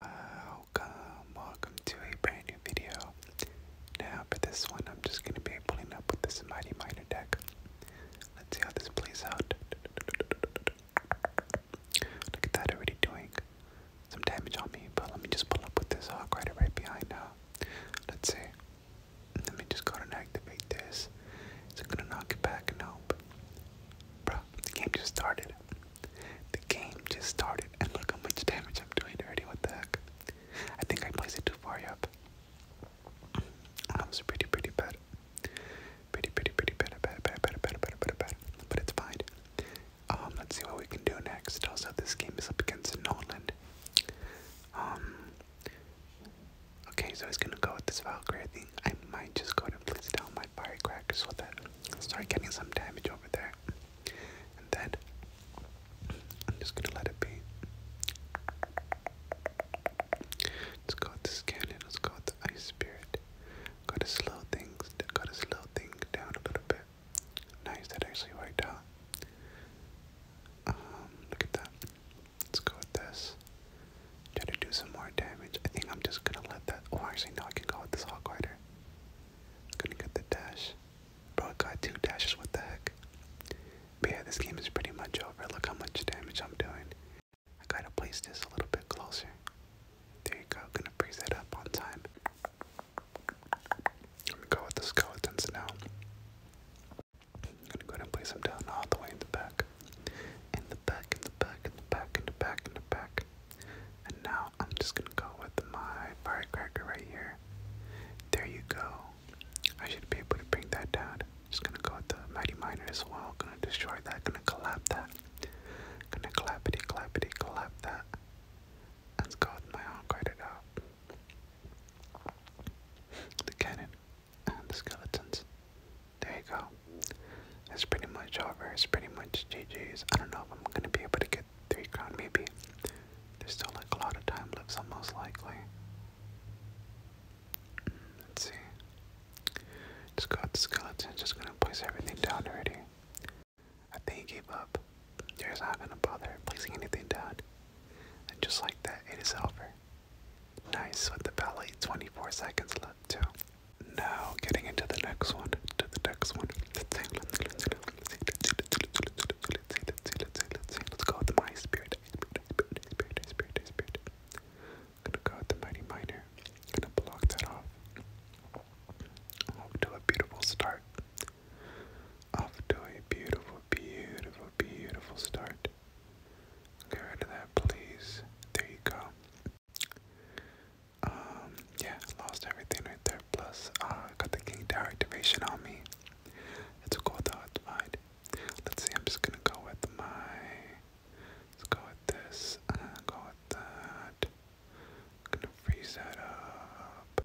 Welcome, welcome to a brand new video. Now for this one, I'm just gonna be pulling up with this Mighty Miner deck. Let's see how this plays out. Look at that, already doing some damage on me, but let me just pull up with this Hawk Rider right behind now. Let's see. Let me just go and activate this. It's gonna knock it back? Nope. Bruh, the game just started. The game just started, and look how much damage I'm doing already. What the heck? I think I placed it too far up. That was pretty, pretty bad. Pretty, pretty, pretty bad, bad, bad, bad, bad, bad, bad, bad. But it's fine. Um, let's see what we can do next. Also, this game is up against Noland. Um. Okay, so he's gonna go with this Valkyrie thing. I might just go ahead and place down my firecrackers with that start getting some damage over there. And then I'm just gonna let it be. Let's go with the scanning, let's go with the ice spirit. Gotta slow things, gotta slow things down a little bit. Nice, that actually worked out. Um, look at that. Let's go with this. Try to do some more damage. I think I'm just gonna let that. Oh, actually, no, I can go with this hog rider. Gonna get the dash. Bro, it got two dashes, what the heck? But yeah, this game is pretty much over. Look how much damage I'm doing. I gotta place this a little bit closer. There you go, gonna breeze that up on time. Let me go with the skeletons now. I'm gonna go ahead and place them down all the way in the back. In the back, in the back, in the back, in the back, in the back. And now I'm just gonna go with my firecracker right here. There you go. I should be able to bring that down. Just gonna go with the mighty miner as well. Gonna destroy that. Gonna collapse that. Gonna clappity clappity clap that. let go with my own credit out. The cannon and the skeletons. There you go. It's pretty much over. It's pretty much GG's. I don't know if I'm gonna be able to get three crown. Maybe there's still like a lot of time left. So likely. Let's see. Just got the skeleton. Just gonna place everything down already. I think he gave up. He's not gonna bother placing anything down. And just like that, it is over. Nice with the belly. 24 seconds left too. Now, getting into the next one, to the next one. Let's see, let's let's go with the mighty spirit, gonna go with the mighty minor. I'm gonna block that off. Off to a beautiful start. Off to a beautiful, beautiful, beautiful start. Get rid of that, please. There you go. Um, yeah, lost everything right there. Plus, uh, got the king tower activation on me. It's cool though, it's Let's see, I'm just gonna go with my. Let's go with this. Uh, go with that. gonna freeze that up.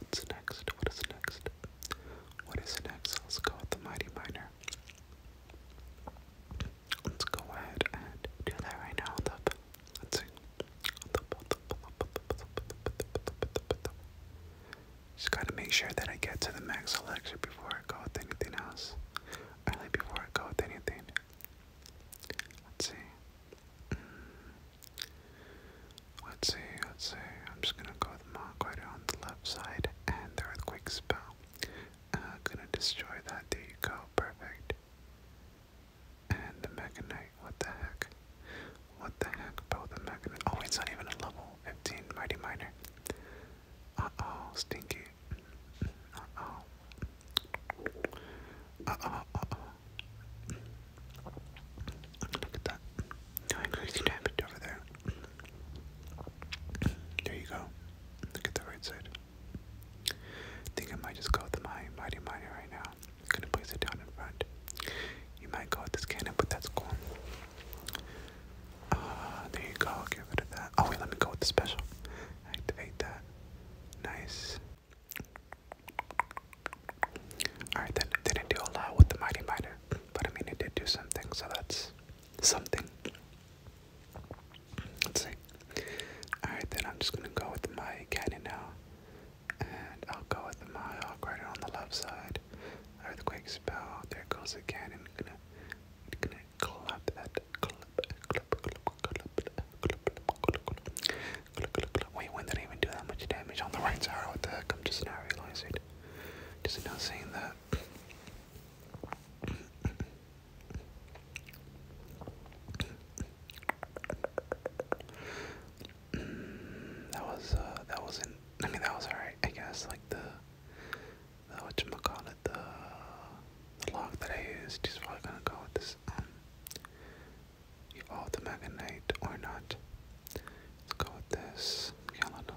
What's next? What is next? What is next? Let's go with the Mighty Miner. Let's go ahead and do that right now. Let's see. Just gotta make sure that I get to the max selection before I go with anything else. Early before I go with anything. Let's see. Let's see, let's see. I'm just gonna go with the Monquite on the left side and the Earthquake spell. Uh, gonna destroy that. There you go. Perfect. And the Mega Knight, what the heck? What the heck about the Mega Knight? Oh, it's not even a level 15 Mighty Miner. Uh oh, stinky. Uh oh. Uh oh, uh oh. Look at that. Doing crazy damage over there. There you go. Look at the right side. I think I might just go with my mighty miner right now. I'm gonna place it down in front. You might go with this cannon, but that's cool. Uh, there you go. Give it to that. Oh wait, let me go with the special. Activate that. Nice. Alright, then it didn't do a lot with the Mighty Miner, but I mean it did do something, so that's something. Let's see. Alright, then I'm just gonna go with my cannon now. And I'll go with the Hawk right on the left side. Earthquake spell. There goes the cannon. I'm gonna, I'm gonna clap that. Clap, clap, clap, clap, clap, clap, clap. Wait, when did I even do that much damage on the right side? What the heck? I'm just now realizing. Just now seeing that that was uh, that wasn't I mean that was alright I guess like the the whatchamacallit the the lock that I used is probably gonna go with this um, You um the Magnite or not. Let's go with this. Yeah, let them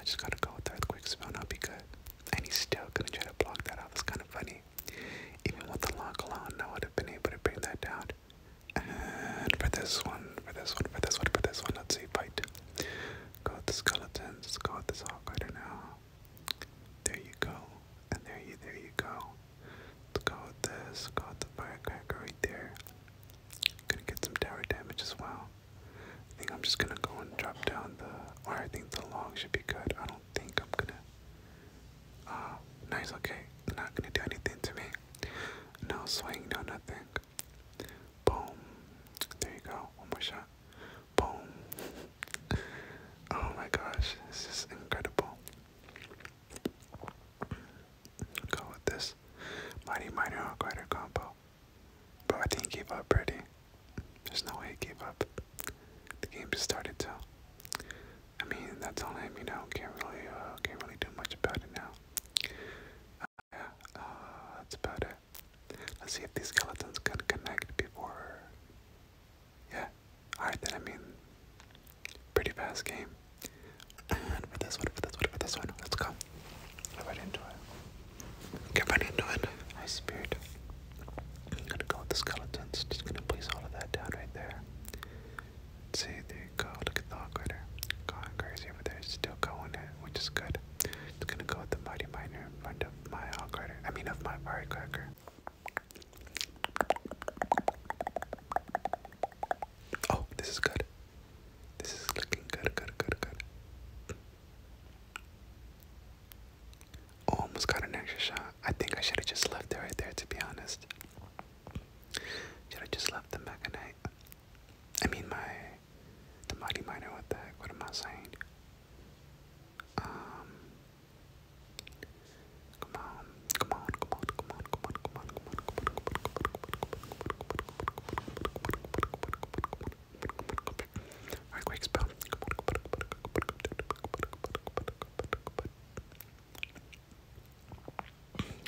I just gotta go with the earthquake spell be good. and he's still gonna try to block that out. That's kinda funny. Even with the lock alone, I would have been able to bring that down. And for this one, for this one, for this one, for this one, let's see, fight. Go with the skeletons, go with the hawk now. There you go. And there you there you go. Let's go with this, go with the firecracker right there. Gonna get some tower damage as well. I think I'm just gonna go and drop down the. Or I think the long should be good. I don't think I'm gonna. Ah, nice. Okay, not gonna do anything to me. No swing, no nothing. Boom. There you go. One more shot. Boom. oh my gosh, this is incredible. Go with this. Mighty Minor Arquider combo. Bro, I think he gave up already. There's no way he up. The game just started to. I mean, that's on him, you know. Can't really, uh, can't really do much about it now. yeah, uh, uh, that's about it. Let's see if these skeletons can connect before. Yeah. Alright, then I mean, pretty fast game. And for this one, for this one, for this one, let's go. Get into it. Get right into it. High spirit. I'm gonna go with the skeletons. Just gonna place all of that down right there. see, there you go. Look at the hog rider. Going crazy over there. Still going in, which is good. It's gonna go with the mighty miner in front my hog rider. I mean, of my firecracker. Oh, this is good. This is looking good, good, good, good. Almost got an extra shot. I think I should have just left it right there, to be honest. Should have just left the Mechanite. I mean, my. The Mighty Miner, what the What am I saying? Um, come on, come on, come on, come on on, come on,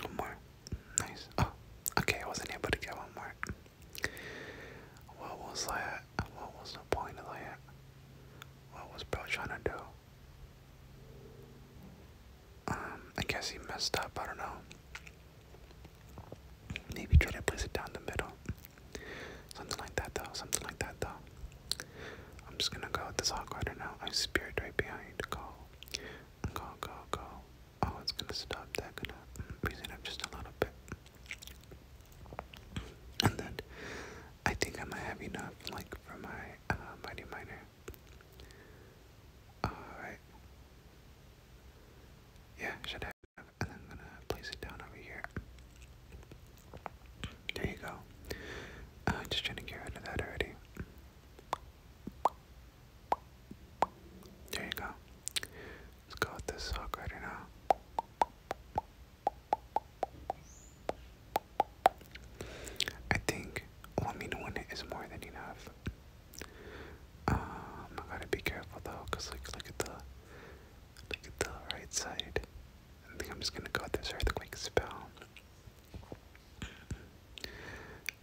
One more. Nice. Oh, okay, I wasn't able to get one more. What was that? What was the point of that? What was Bro trying to do? Um, I guess he messed up. I don't know. Maybe try to place it down the middle. Something like that, though. Something like that, though. I'm just gonna go with this awkward now. I spirit right behind. Go, go, go, go. Oh, it's gonna stop. That gonna mm, raise it up just a little bit. And then I think I might have enough, like for my uh, mighty Alright. Yeah, should have. And I'm gonna place it down over here. There you go. I'm uh, just trying to get rid of that already. There you go. Let's go with this hawk rider now. I think, well, I is more than enough. Um, I gotta be careful though, cause like look at the look at the right side. I think I'm just gonna go with this earthquake spell.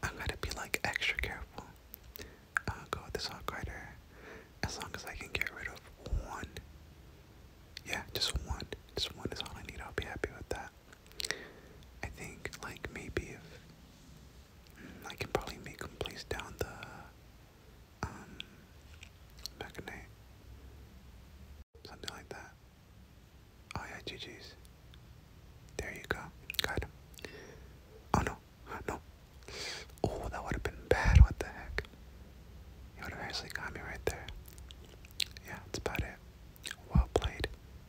I gotta be like extra careful. Uh, go with this hawk rider as long as I can get rid of one. Yeah, just one. Just one is all I need. I'll be happy with that. I think like maybe if mm, I can probably make them place down the um Maconite. Something like that. Oh yeah, GG's. There you go. Got him. Oh no, no. Oh, that would have been bad. What the heck? You would have actually got me right there. Yeah, that's about it. Well played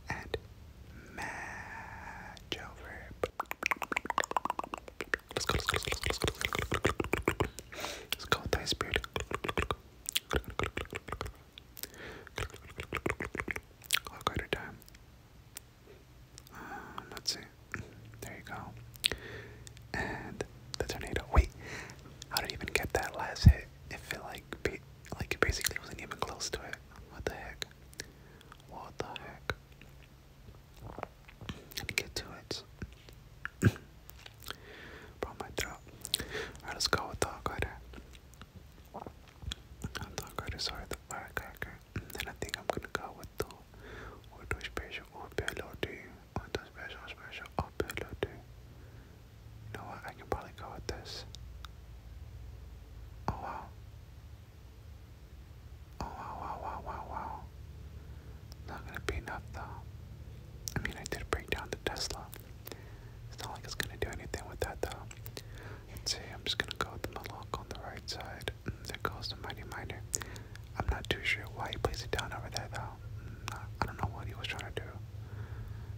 and match over. Let's go, let's go, let's go, let's go. Let's go with thy spirit. I'll go to time. Um, let's see. There you go. And the tornado. Wait, how did he even get that last hit? It felt like, like it basically wasn't even close to it. What the heck? What the heck? Let me get to it. Brought my throat. Alright, let go with Dog I'm Dog Rider, sorry, the Firecracker. And I think I'm gonna go with the Auto Special or Pelody. Special, Special, or Pelody. I can probably go with this. Oh wow. Oh wow wow wow wow wow. Not gonna be enough though. I mean I did break down the Tesla. It's not like it's gonna do anything with that though. Let's see, I'm just gonna go with the Malak on the right side. Mm, there goes the Mighty Miner. I'm not too sure why he placed it down over there though. Not, mm, I don't know what he was trying to do.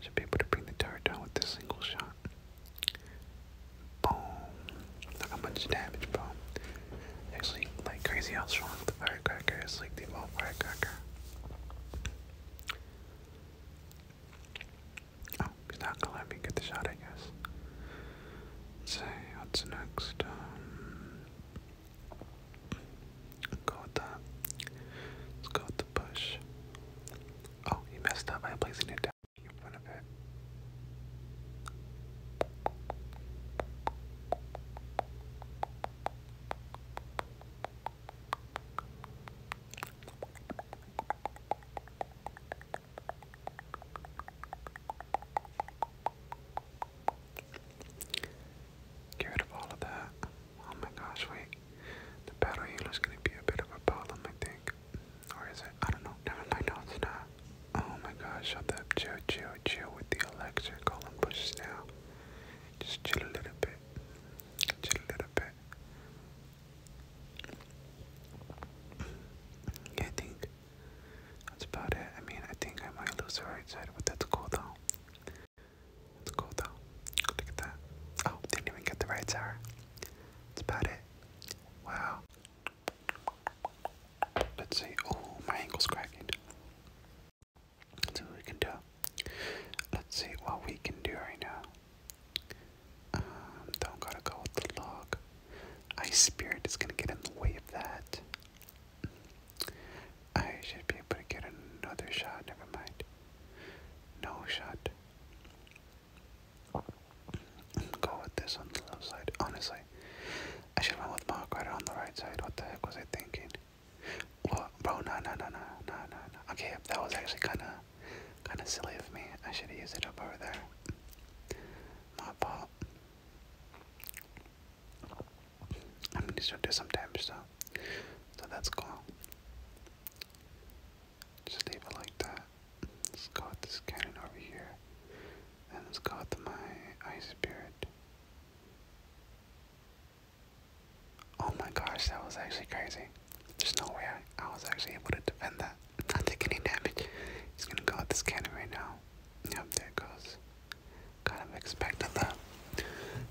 Should be able to bring the tower down with a single shot. Boom. Look how much damage, bro. Actually, like crazy how strong the firecracker is, like the old firecracker. Oh, he's not gonna let me get the shot, I guess. let what's next? Um, go the push. Oh, he messed up. I placing it down in front of it. Get rid of all of that. Oh my gosh, wait. The battle healer's gonna be a bit of a problem, I think. Or is it? I don't know. Never mind, no, it's not. Oh my gosh, shut up. Chill, chill, chill with the Call them pushes now. Just chill a little bit. Chill a little bit. I think that's about it. I mean, I think I might lose the right side, but that's cool though. It's cool though. Look at that. Oh, didn't even get the right tower. That's about it. Wow. Let's see. Oh, my ankle's cracking. see what we can do. Let's see what we can do right now. Um, don't gotta go with the log. Ice Spirit is gonna get in the way of that. I should be able to get another shot, never mind. No shot. Go with this on the left side. Honestly, I should run with Mark right on the right side. What the heck was I thinking? bro, no, no, no, no, no, no, no. Okay, that was actually kind of, kind of silly of me. I should have used it up over there. My fault. I mean, these are do some damage though. So that's cool. Just leave it like that. Let's go with this cannon over here. And let's go with my ice spirit. Oh my gosh, that was actually crazy. There's no way I, I was actually able to defend that. Not taking any damage. He's gonna go with this cannon right now. there it goes. Kind of expected that.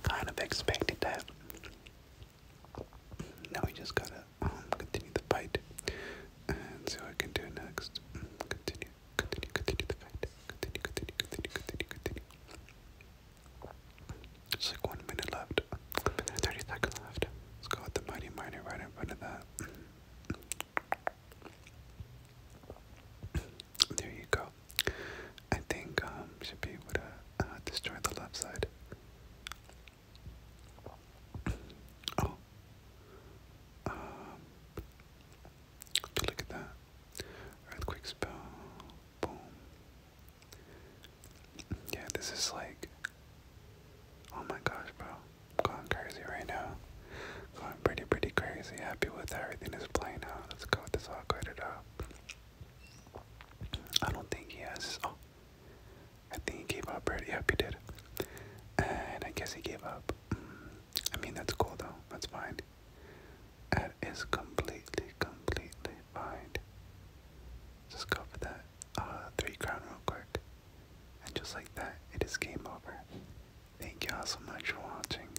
Kind of expected that. Now we just gotta um, continue the fight and see what I can do next. Mm, continue, continue, continue the fight. Continue, continue, continue, continue, continue. Just like one minute left. Thirty seconds left. Let's go with the mighty miner right in front of that. There you go. I think um, should be able to uh, destroy the left side. Oh, um, look at that earthquake spell. Boom. Yeah, this is like, oh my gosh, bro, going crazy right now. Going pretty, pretty crazy. Happy with everything is playing out. Let's go with this all cleared up. I don't think he has. Oh, I think he gave up already. Yep, he did. And I guess he gave up. Mm, I mean, that's cool though. That's fine. That is completely, completely fine. Just go that uh, three crown real quick. And just like that, it is game over. Thank y'all so much for watching.